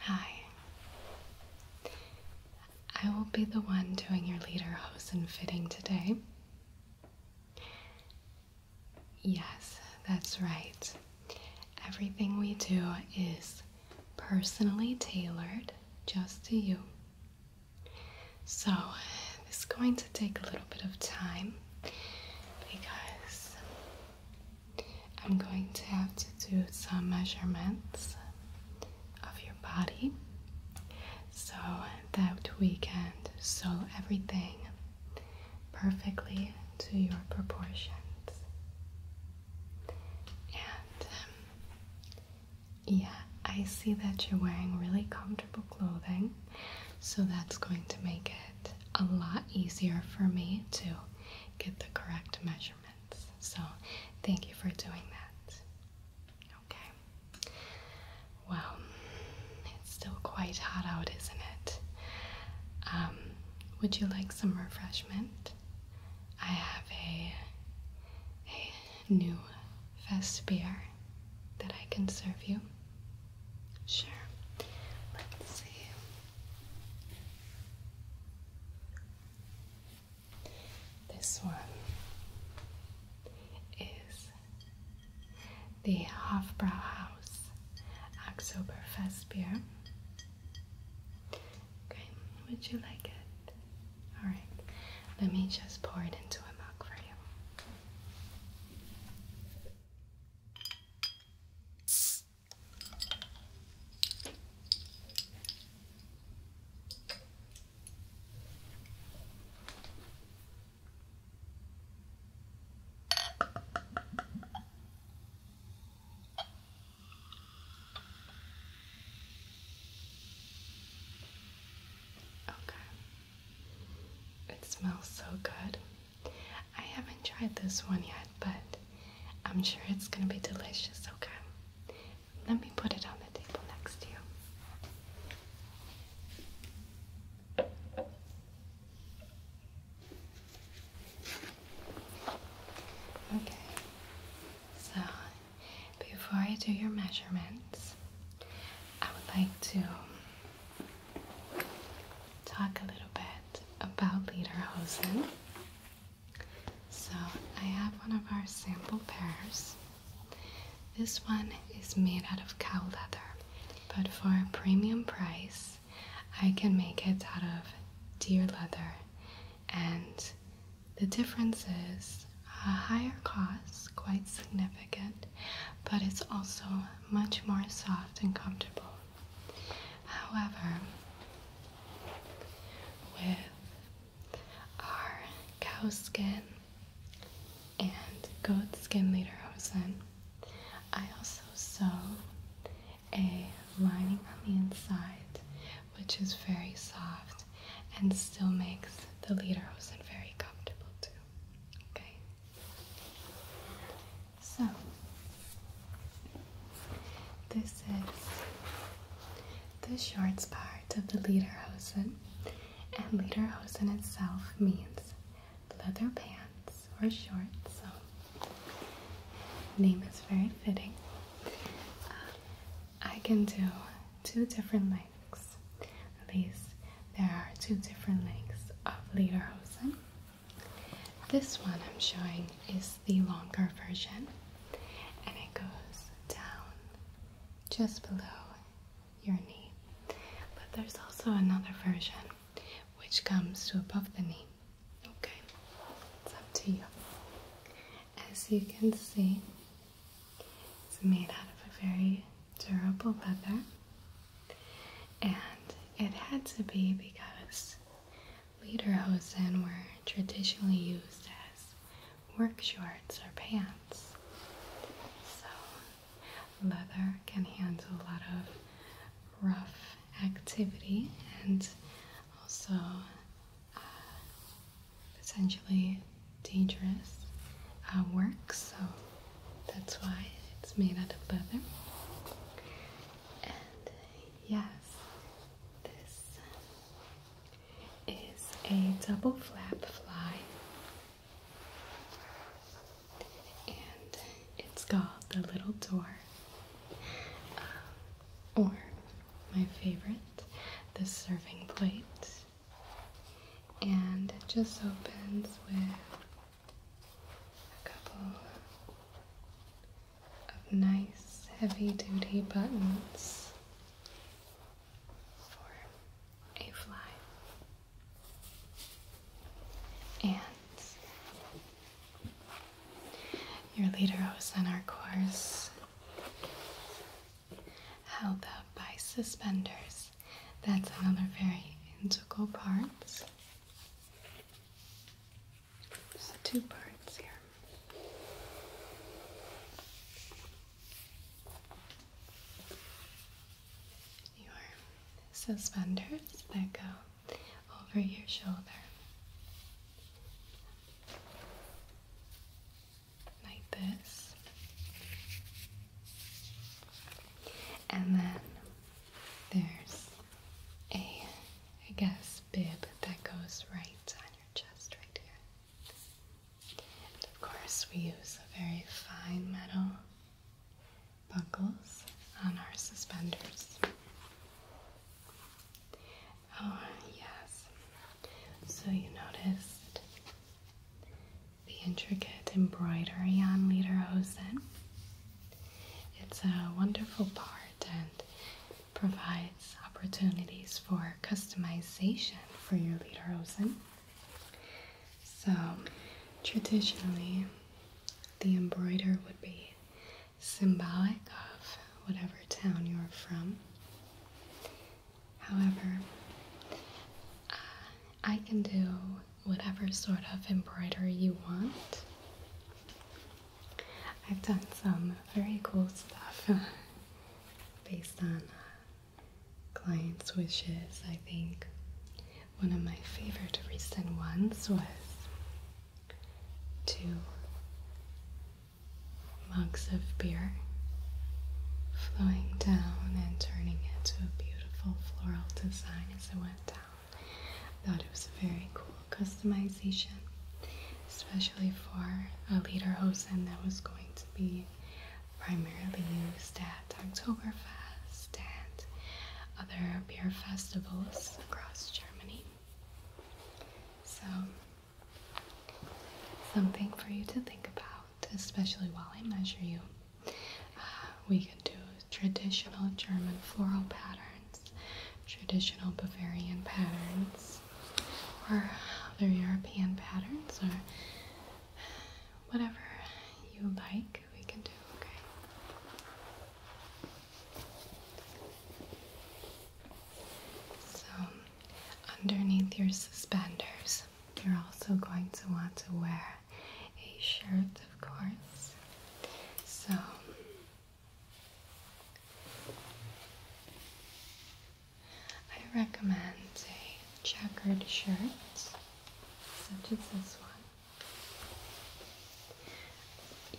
Hi. I will be the one doing your hose and fitting today. Yes, that's right. Everything we do is personally tailored just to you. So, this is going to take a little bit of time because I'm going to have to do some measurements of your body so that we can sew everything perfectly to your proportions. And um, yeah, I see that you're wearing really comfortable clothing, so that's going to make it a lot easier for me to get the correct measurements. So, thank you for doing that. Okay. Well, it's still quite hot out, isn't it? Um, would you like some refreshment? I have a a new fest beer that I can serve you. Sure. Let's see. This one is the Hofbrauhaus Oktoberfest beer. Okay, would you like it? All right, let me just pour it into a mug for you. Okay. It smells so good. I haven't tried this one yet, but I'm sure it's gonna be delicious, okay? Let me put it on the table next to you. Okay, so before I do your measurements, I would like to talk a little bit about leather hosen. So, I have one of our sample pairs. This one is made out of cow leather, but for a premium price, I can make it out of deer leather. And the difference is a higher cost, quite significant, but it's also much more soft and comfortable. However, with our cow skin and goat skin lederhosen, I also sew a lining on the inside which is very soft and still makes the lederhosen very comfortable too. Okay. So, this is the shorts part of the Lederhosen, and Lederhosen itself means leather pants or shorts, so name is very fitting. I can do two different lengths, at least there are two different lengths of Lederhosen. This one I'm showing is the longer version and it goes down just below your knee. But there's also another version which comes to above the knee. Okay, it's up to you. As you can see, it's made out of a very durable leather and it had to be because leather lederhosen were traditionally used as work shorts or pants. So leather can handle a lot of rough activity and also uh, potentially dangerous uh, work. So that's why it's made out of leather. And yes, this is a double flap fly. And it's got the little door. Uh, or my favorite, the serving plate. And it just opens with a couple of nice heavy duty buttons for a fly and your leader was on our course held up by suspenders that's another very integral part there's two parts here. Your suspenders that go over your shoulder. Like this. And then there's a, I guess, bib that goes right on your chest right here. And of course, we use a very fine metal buckles on our suspenders. Oh, yes. So you noticed the intricate embroidery on Lederhosen. It's a wonderful part and provides opportunities for customization for your leader lederhosen. So, traditionally, the embroider would be symbolic of whatever town you're from. However, uh, I can do whatever sort of embroidery you want. I've done some very cool stuff based on uh, clients' wishes. I think one of my favorite recent ones was two mugs of beer flowing down and turning into a beautiful floral design as it went down. Thought it was a very cool customization, especially for a leader hose, hosen that was going to be primarily used at Oktoberfest and other beer festivals across Germany. So, something for you to think about, especially while I measure you. Uh, we could do traditional German floral patterns, traditional Bavarian patterns, or other European patterns, or whatever you like, we can do, So, underneath your suspenders, you're also going to want to wear a shirt, of course. So I recommend a checkered shirt, such as this one.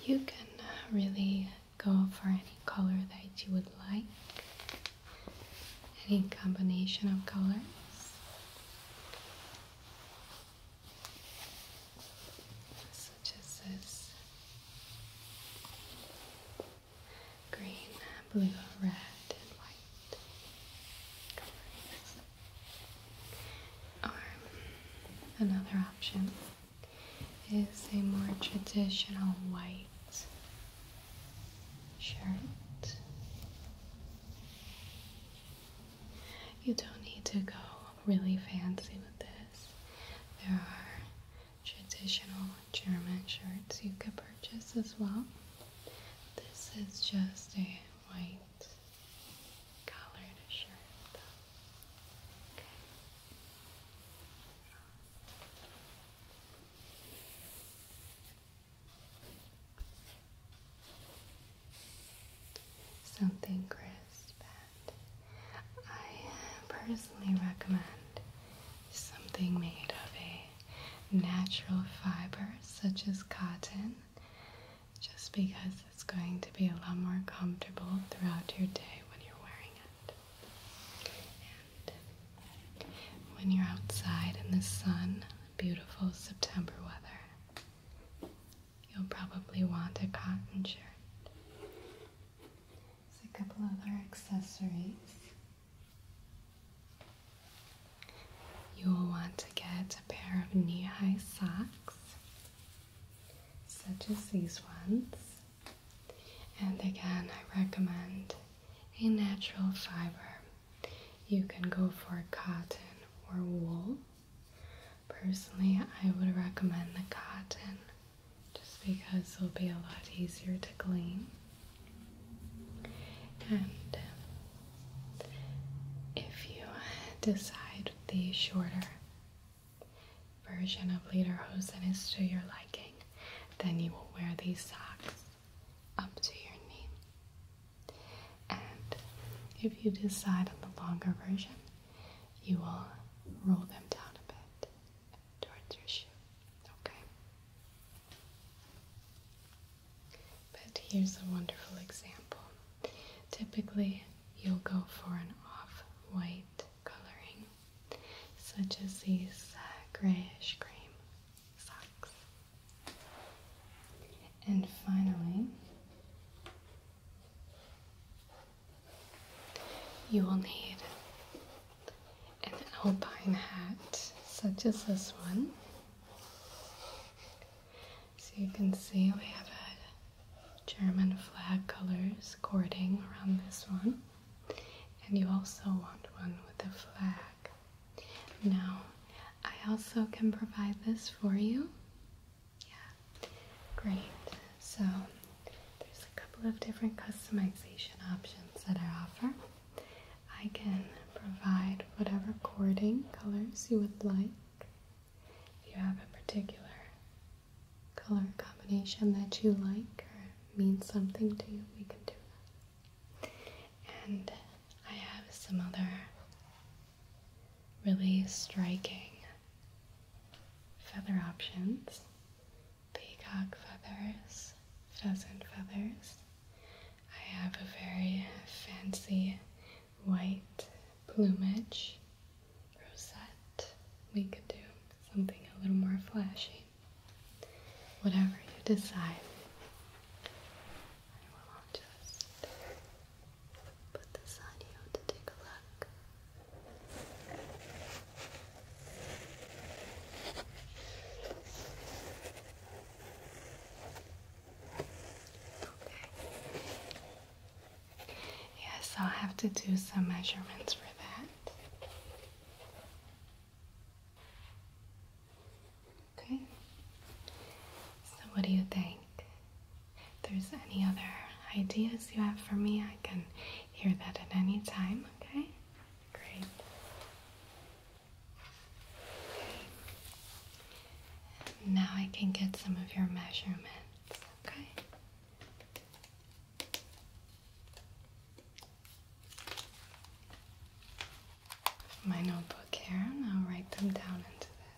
You can uh, really go for any color that you would like, any combination of colors such as green, blue, red, and white colors. Or another option is a more traditional white shirt you don't need to go really fancy with this. There are traditional German shirts you could purchase as well. This is just a white colored shirt. Something crisp and I personally recommend something made of a natural fiber such as cotton just because it's going to be a lot more comfortable throughout your day when you're wearing it. And when you're outside in the sun, beautiful September weather, you'll probably want a cotton shirt. There's a couple other accessories. You will want to get a pair of knee-high socks, such as these ones. And again, I recommend a natural fiber. You can go for cotton or wool, Personally, I would recommend the cotton just because it'll be a lot easier to clean. And um, if you decide the shorter version of leader lederhosen is to your liking, then you will wear these socks up to your knee. And if you decide on the longer version, you will roll them down a bit towards your shoe. Okay? But here's a wonderful example. Typically, you'll go for an off white coloring, such as these uh, grayish cream socks. And finally, you will need an alpine hat such as this one. So you can see we have a German flag colors cording around this one. And you also want one with a flag. Now, I also can provide this for you. Yeah, great. So there's a couple of different customization options that I offer. I can provide whatever cording colors you would like. If you have a particular color combination that you like or means something to you, we can do that. And I have some other really striking feather options peacock feathers, pheasant feathers. I have a very fancy white plumage rosette. We could do something a little more flashy. Whatever you decide. I will just put this on you to take a look. Okay. Yes, i have to do some measurements for that. Okay. So, what do you think? If there's any other ideas you have for me, I can hear that at any time, okay? Great. Now I can get some of your measurements, okay? My notebook here, I'll write them down into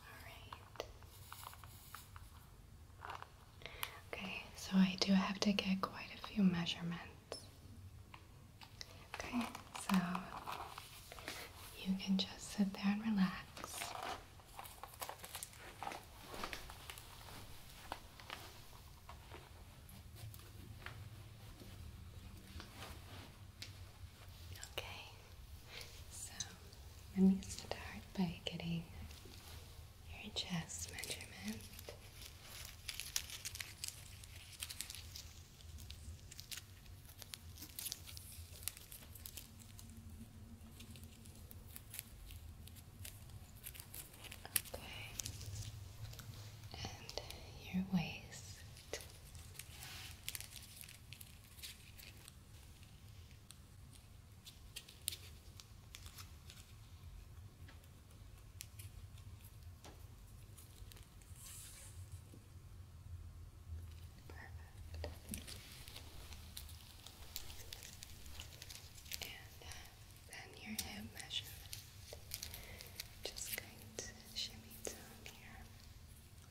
Alright. Okay, so I do have to get quite a few measurements. Okay, so you can just sit there and relax. Okay, so let me start by getting your chest measurement. Okay, and your waist. Perfect. And uh, then your hip measurement. Just going to shimmy down here. Okay. Okay, perfect.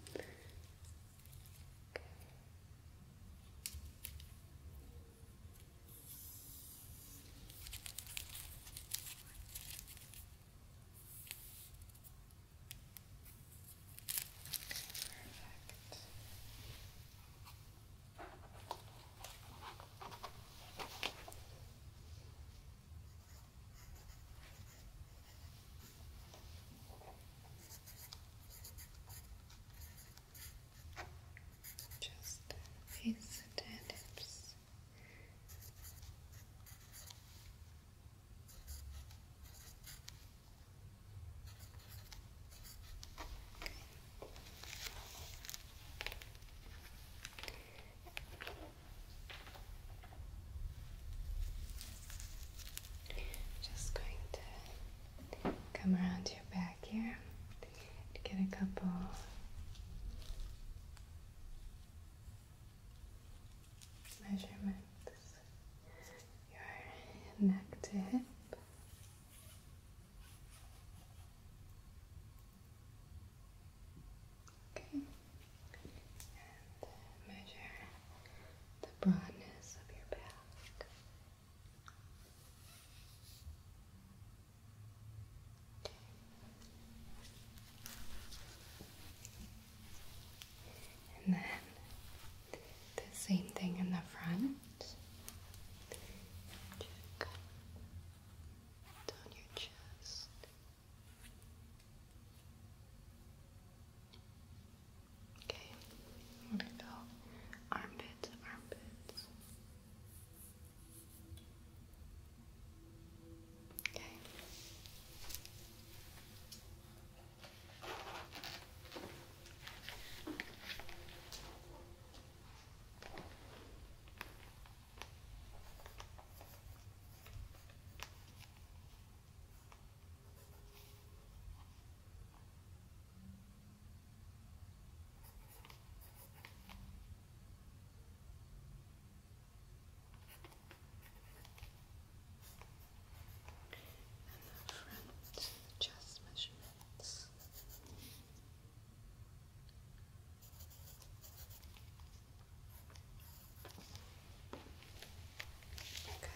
Just face the hips. Okay. Just going to come around your back here to get a couple measurements. Your neck to hip. Okay and measure the broadness of your back. And then the same thing in the front. Check down your chest. Okay, I'm go armpits, armpits. Okay the front chest measurements. Okay.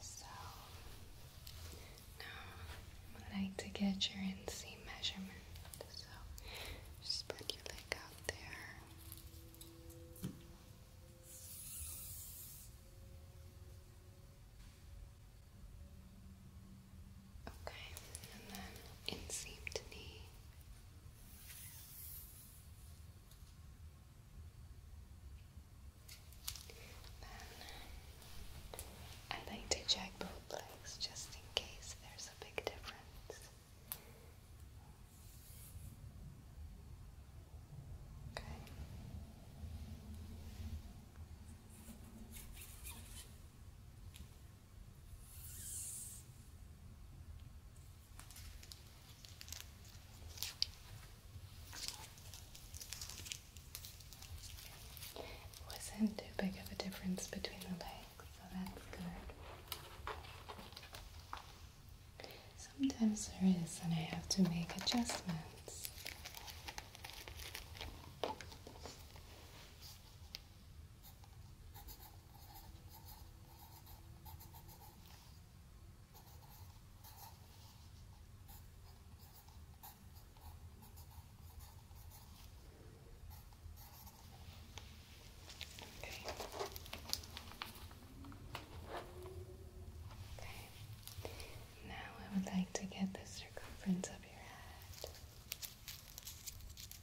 so now I'd like to get your NC measurement. So just put your leg out there. Okay, and then inseam to knee. Then I like to check both legs just in case there's a big difference. Okay wasn't too big of a difference between the legs, so that's good. Sometimes there is, and I have to make adjustments. Okay. Okay. Now I would like to get the circumference of your head.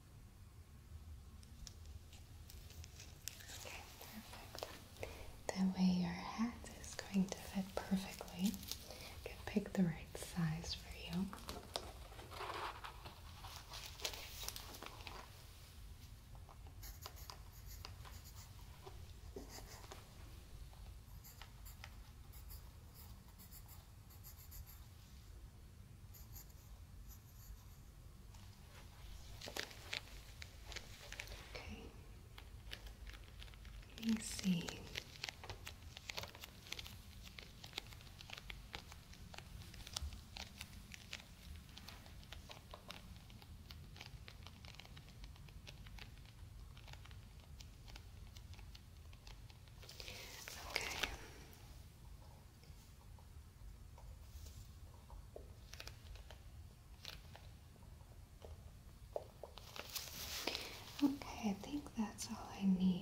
Okay, perfect. That way your hat is going to fit perfectly. You can pick the right size for you. Okay. Let me see. Okay. Okay, I think that's all I need.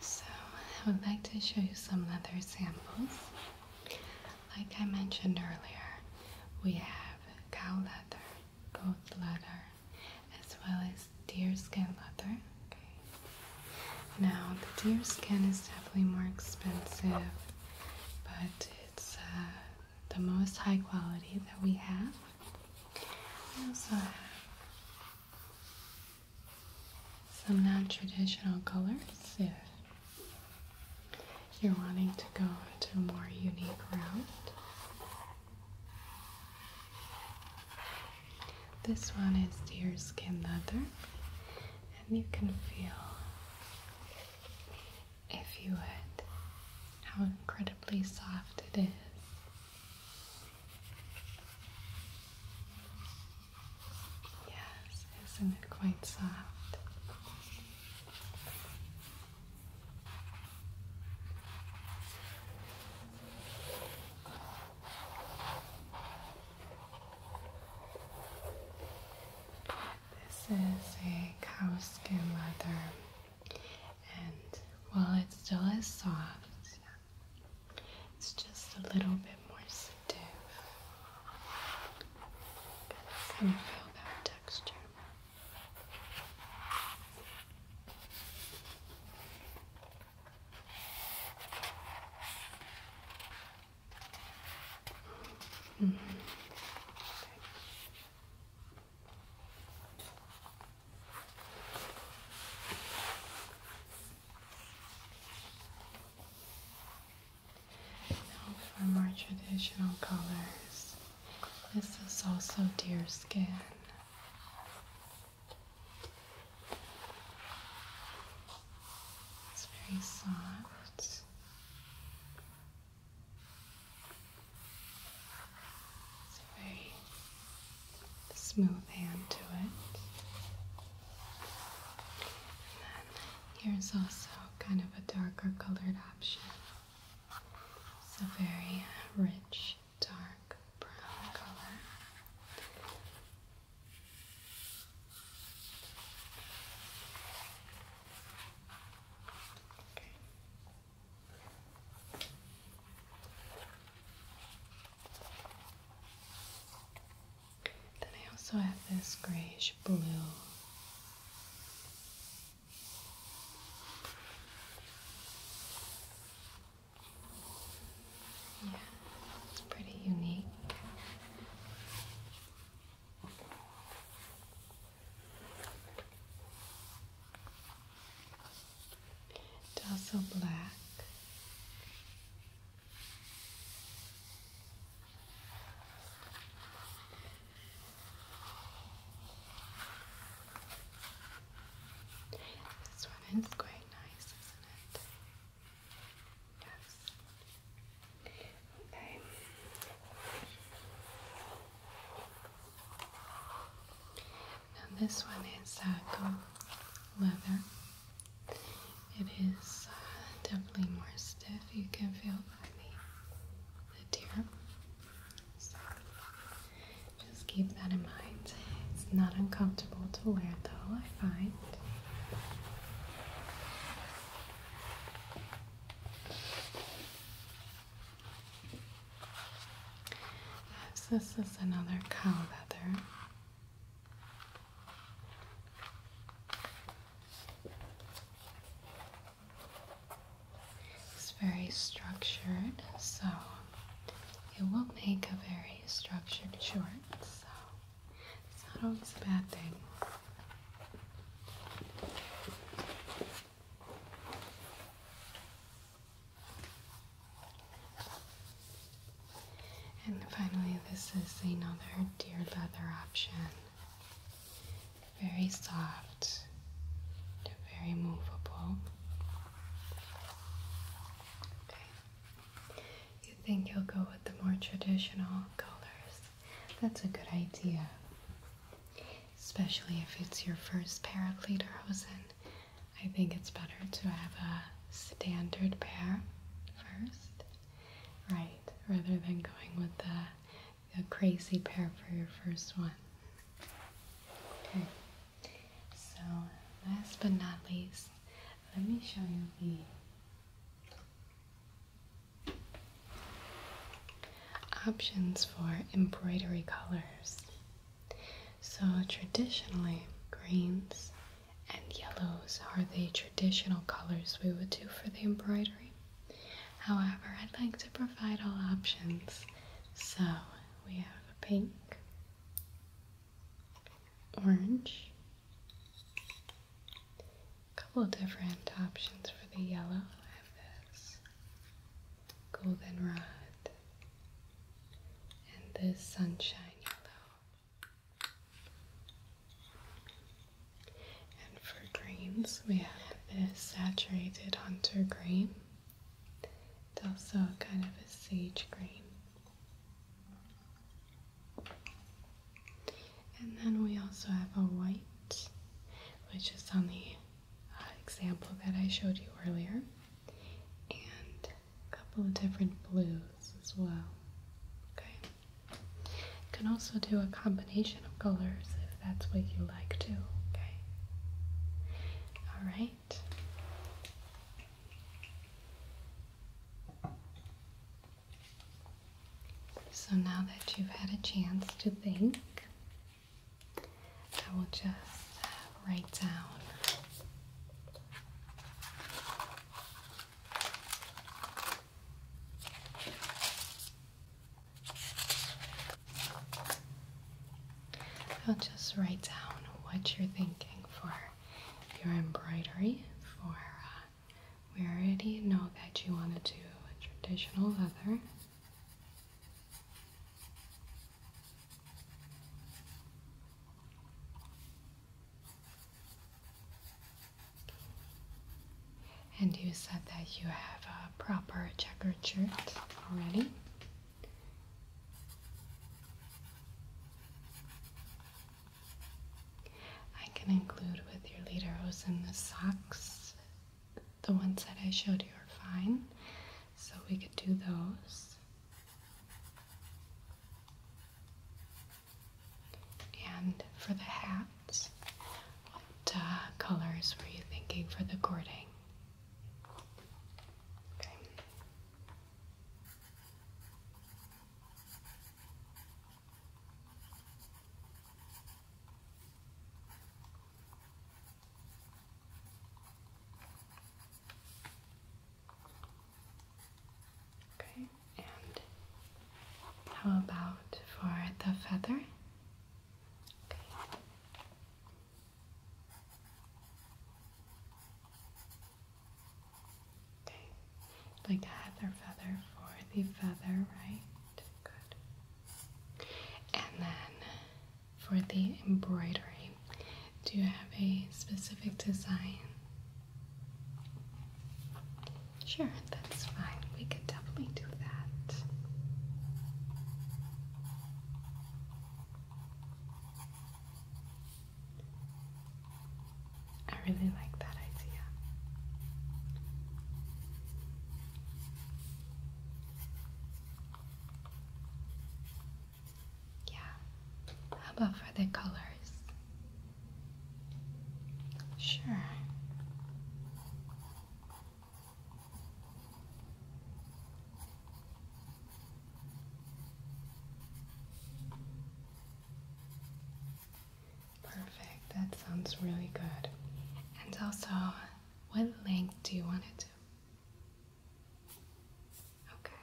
so I would like to show you some leather samples. Like I mentioned earlier, we have cow leather, goat leather, as well as deer skin leather. Now the deer skin is definitely more expensive, but it's uh, the most high quality that we have. I also have some non-traditional colors if you're wanting to go to a more unique route. This one is deer skin leather, and you can feel, if you would, how incredibly soft it is. Yes, isn't it quite soft? This is a cow skin leather and while it still is soft, it's just a little bit more stiff. Can you feel that texture? Mm-hmm for more traditional colors. This is also deer skin. It's very soft. It's a very smooth hand to it. here's also kind of a darker colored option. It's a very rich, dark brown color. Okay. Then I also have this grayish blue. Yeah, it's pretty unique. Tassel black. This one is quite nice, isn't it? Yes. Okay. Now this one is uh, gold leather. It is uh, definitely more stiff. You can feel by the, the tear. just keep that in mind. It's not uncomfortable to wear though, I find this is another cow leather. It's very structured, so it will make a very structured shirt. so it's not always a bad thing. And finally, this is another deer leather option. Very soft, very movable. You think you'll go with the more traditional colors? That's a good idea. Especially if it's your first pair of lederhosen. I think it's better to have a standard pair first, right, rather than going with the, the crazy pair for your first one. Okay, so last but not least, let me show you the options for embroidery colors. So, traditionally, greens and yellows are the traditional colors we would do for the embroidery. However, I'd like to provide all options. So, we have a pink, orange, a couple different options for the yellow. I have this goldenrod and this sunshine yellow. And for greens, we have this saturated hunter green. It's also kind of a sage green. And then we also have a white, which is on the example that I showed you earlier, and a couple of different blues as well. Okay, you can also do a combination of colors if that's what you like too. Okay, all right. So now that you've had a chance to think, I will just write down I'll just write down what you're thinking for your embroidery for uh, we already know that you want to do a traditional leather and you said that you have a proper checkered shirt already. I can include with your lederos and the socks. The ones that I showed you are fine, so we could do those. And for the hats, what uh, colors were you thinking for the cording? Okay, and how about for the feather? Okay. like heather feather for the feather, right? Good. And then for the embroidery. Do you have a specific design? Sure, that's fine. We could definitely do that. I really like that idea. Yeah. How about for the colors? Sure. Perfect, that sounds really good. And also, what length do you want it to? Okay.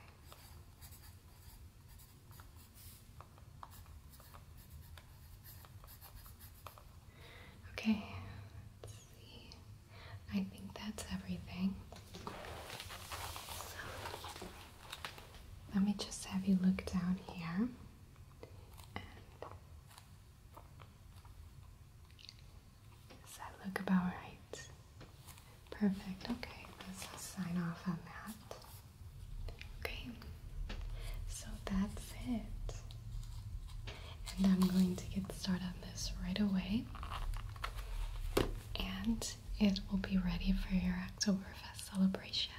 Okay, let see. I think that's everything. let me just have you look down here does that look about right? Perfect. Okay, let's sign off on that. Okay, so that's it. And I'm going to get started on this right away. And it will be ready for your Oktoberfest celebration.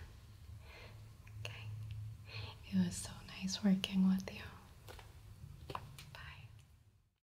Okay, it was so nice working with you. Bye.